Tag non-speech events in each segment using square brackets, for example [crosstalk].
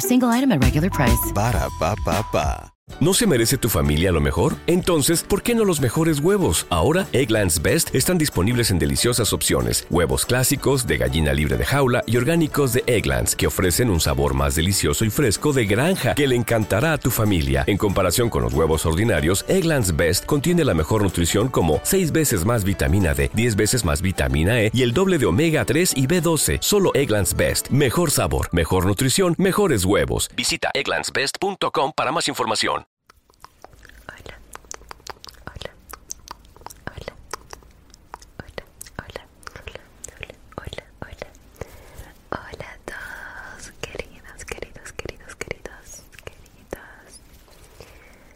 single item no se merece tu familia lo mejor? Entonces, ¿por qué no los mejores huevos? Ahora, Egglands Best están disponibles en deliciosas opciones. Huevos clásicos, de gallina libre de jaula y orgánicos de Egglands, que ofrecen un sabor más delicioso y fresco de granja que le encantará a tu familia. En comparación con los huevos ordinarios, Egglands Best contiene la mejor nutrición como 6 veces más vitamina D, 10 veces más vitamina vitamina E y el doble de omega 3 y B12. Solo Egglands Best. Mejor sabor, mejor nutrición, mejores huevos. Visita egglandsbest.com para más información. Hola. Hola. Hola. Hola. Hola. Hola. Hola. Hola a todos, queridos, queridos, queridos, queridos, queridos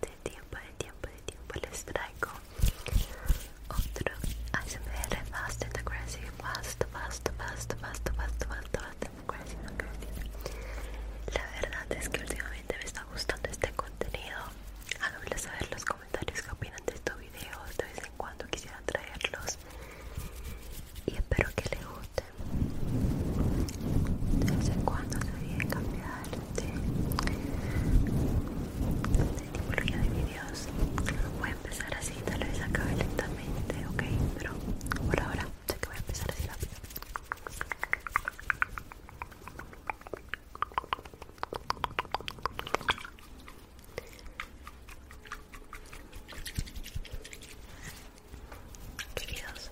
de tiempo, de tiempo, de tiempo les traigo otro Fast La verdad es que últimamente me está gustando este contenido. Háganmelo saber los comentarios que opinan de estos videos. De vez en cuando quisiera traerlos. Y espero que les guste. De vez en cuando se viene de. Este, este tipología de videos voy a empezar así, tal vez acabe lentamente, ok, pero por ahora sé que voy a empezar así rápido. Queridos,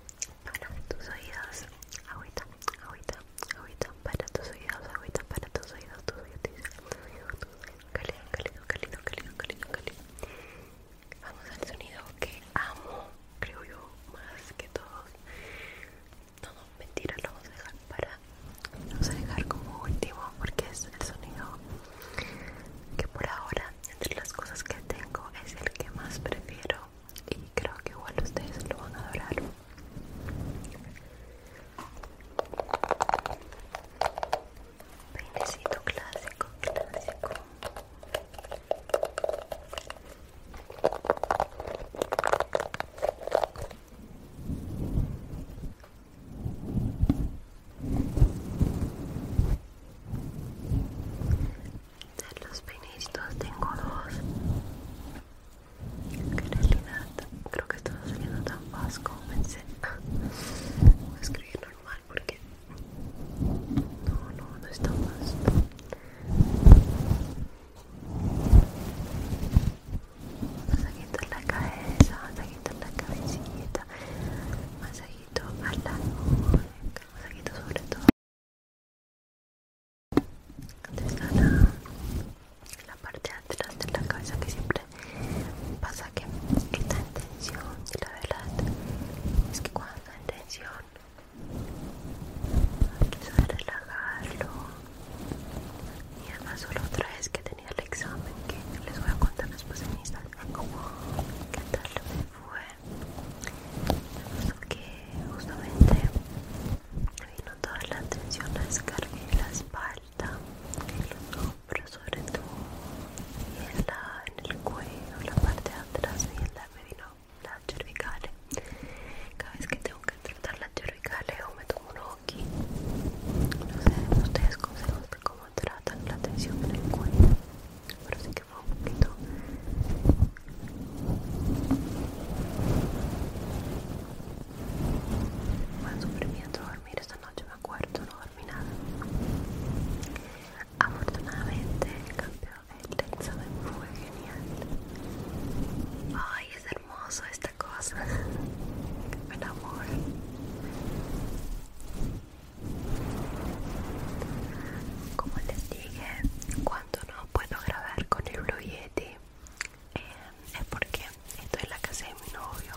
para tus oídos, agüita, agüita, agüita, para tus oídos, agüita, para tus oídos, tus oídos, cálido, cálido, cálido, cálido, cálido, cálido. Vamos al sonido que amo, creo yo, más que todos. No, no, mentira, lo vamos a dejar para, lo vamos a dejar como último porque es el sonido que por ahora, entre las cosas que tengo, es el que más prefiero y creo que igual ustedes lo van a adorar peinecito clásico clásico de los peinitos tengo dos que creo que esto no saliendo tan fácil como voy a escribir normal porque no, no, no está fácil masajito en la cabeza, masajito en la cabecita masajito a la nuca, masajito sobre todo está la, la parte de atrás de la cabeza que siempre pasa que está en tensión y la verdad es que cuando está en tensión hay que relajarlo y además solo otra vez que tenía el examen que les voy a contar después en Instagram cómo qué tal me fue que justamente me vino toda la atención a en la espalda, en los hombros sobre todo, y en, la, en el cuello, la parte de atrás y en la me vino la cervicales. Cada vez que tengo que tratar las cervicales o me tomo un hockey, no sé, ustedes consejos de cómo tratan la tensión en el cuello, me fue un poquito dormí dormir esta noche me acuerdo no dormí nada afortunadamente el campeón el me fue genial ay es hermoso esta cosa me [laughs] amor como les dije, cuando no puedo grabar con el Blue Yeti eh, es porque estoy en la casa de mi novio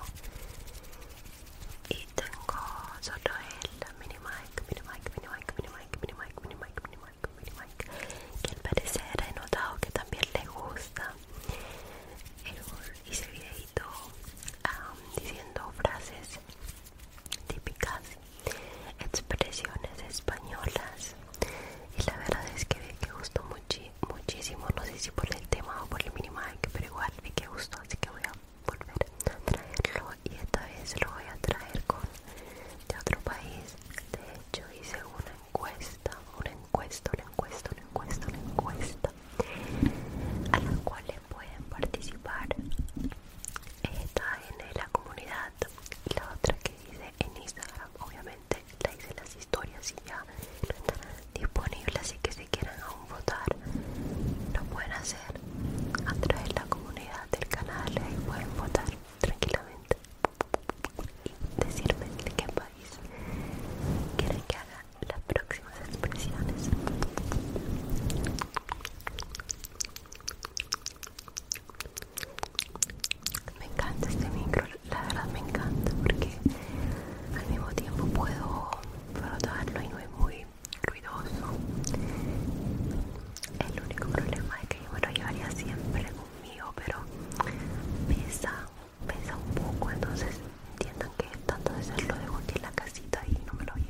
y tengo solo el mini mic, mini mic, mini mic, mini mic, mini mic, mini mic, mini mic, mini que al parecer he notado que también le gusta. Hice videito um, diciendo frases típicas expresiones españolas y la verdad es que vi que gustó muchísimo no sé si por el tema o por el que pero igual vi que gustó así que voy a volver a traerlo y esta vez lo voy a traer con de otro país de hecho hice una encuesta una encuesta una encuesta una encuesta una encuesta a la cual pueden participar está en la comunidad y la otra que hice en Instagram obviamente la hice las historias y ya no disponibles así que si quieren aún votar lo pueden hacer a través de la comunidad del canal y pueden votar tranquilamente y decirme de qué país quieren que haga las próximas expresiones me encanta este micro, la verdad me encanta porque al mismo tiempo puedo frotarlo y no es muy ruidoso. El único problema es que yo me lo llevaría siempre conmigo, pero pesa, pesa un poco, entonces entiendan que tanto de serlo lo dejo en la casita y no me lo llevo.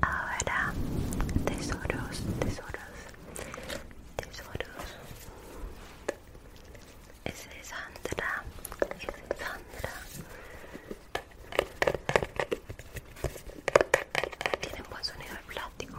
Ahora, tesoros, tesoros, tesoros. Es de Sandra, es de Sandra. Tienen buen sonido el plástico.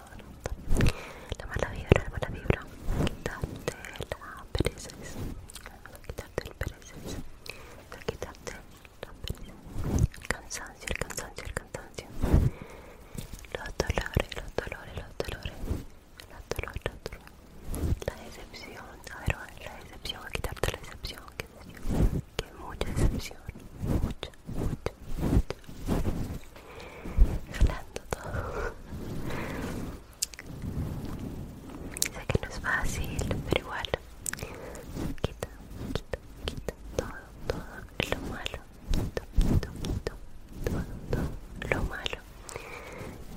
la mala vibra, la mala vibra, quitarte la pereza. quitarte el pereza. quitarte la pereza, el cansancio, el cansancio, el cansancio, los dolores, los dolores, los dolores, los dolores, la decepción, a ver, la decepción, a quitarte la decepción, que, qué mucha decepción, mucha, mucha, mucha jalando todo. Sé que no es fácil, pero igual. Quita, quita, quita todo, todo lo malo. quita, quita, quita todo, todo lo malo.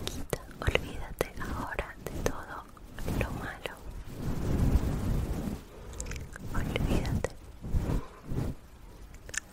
Quita, olvídate ahora de todo lo malo. Olvídate.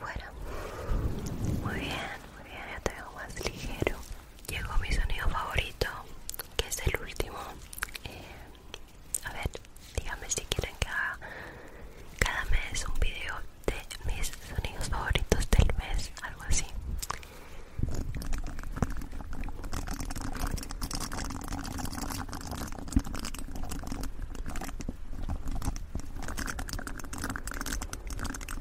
Bueno, Muy bien, muy bien, ya tengo más ligero. Llegó mi sonido favorito, que es el último. Eh, a ver, díganme si quieren que haga cada mes un video de mis sonidos favoritos del mes, algo así.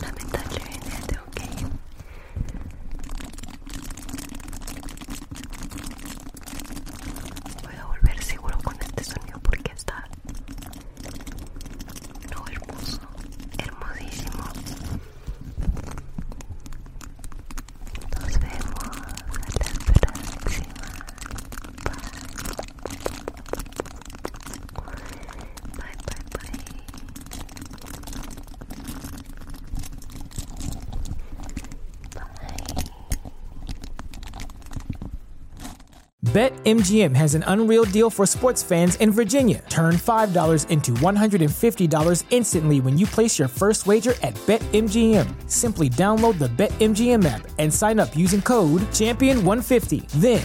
Lamentablemente en este ok? Voy a volver seguro con este sonido porque está no hermoso, hermosísimo. Nos vemos a la próxima. Bye. Bye bye BetMGM has an unreal deal for sports fans in Virginia. Turn $5 into $150 instantly when you place your first wager at BetMGM. Simply download the BetMGM app and sign up using code Champion150. Then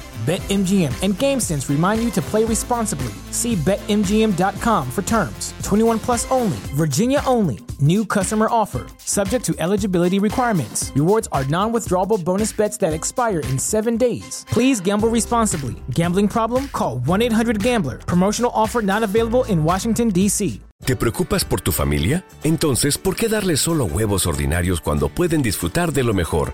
BetMGM and GameSense remind you to play responsibly. See BetMGM.com for terms. 21 plus only, Virginia only. New customer offer, subject to eligibility requirements. Rewards are non withdrawable bonus bets that expire in seven days. Please gamble responsibly. Gambling problem? Call 1 800 Gambler. Promotional offer not available in Washington, D.C. ¿Te preocupas por tu familia? Entonces, ¿por qué darles solo huevos ordinarios cuando pueden disfrutar de lo mejor?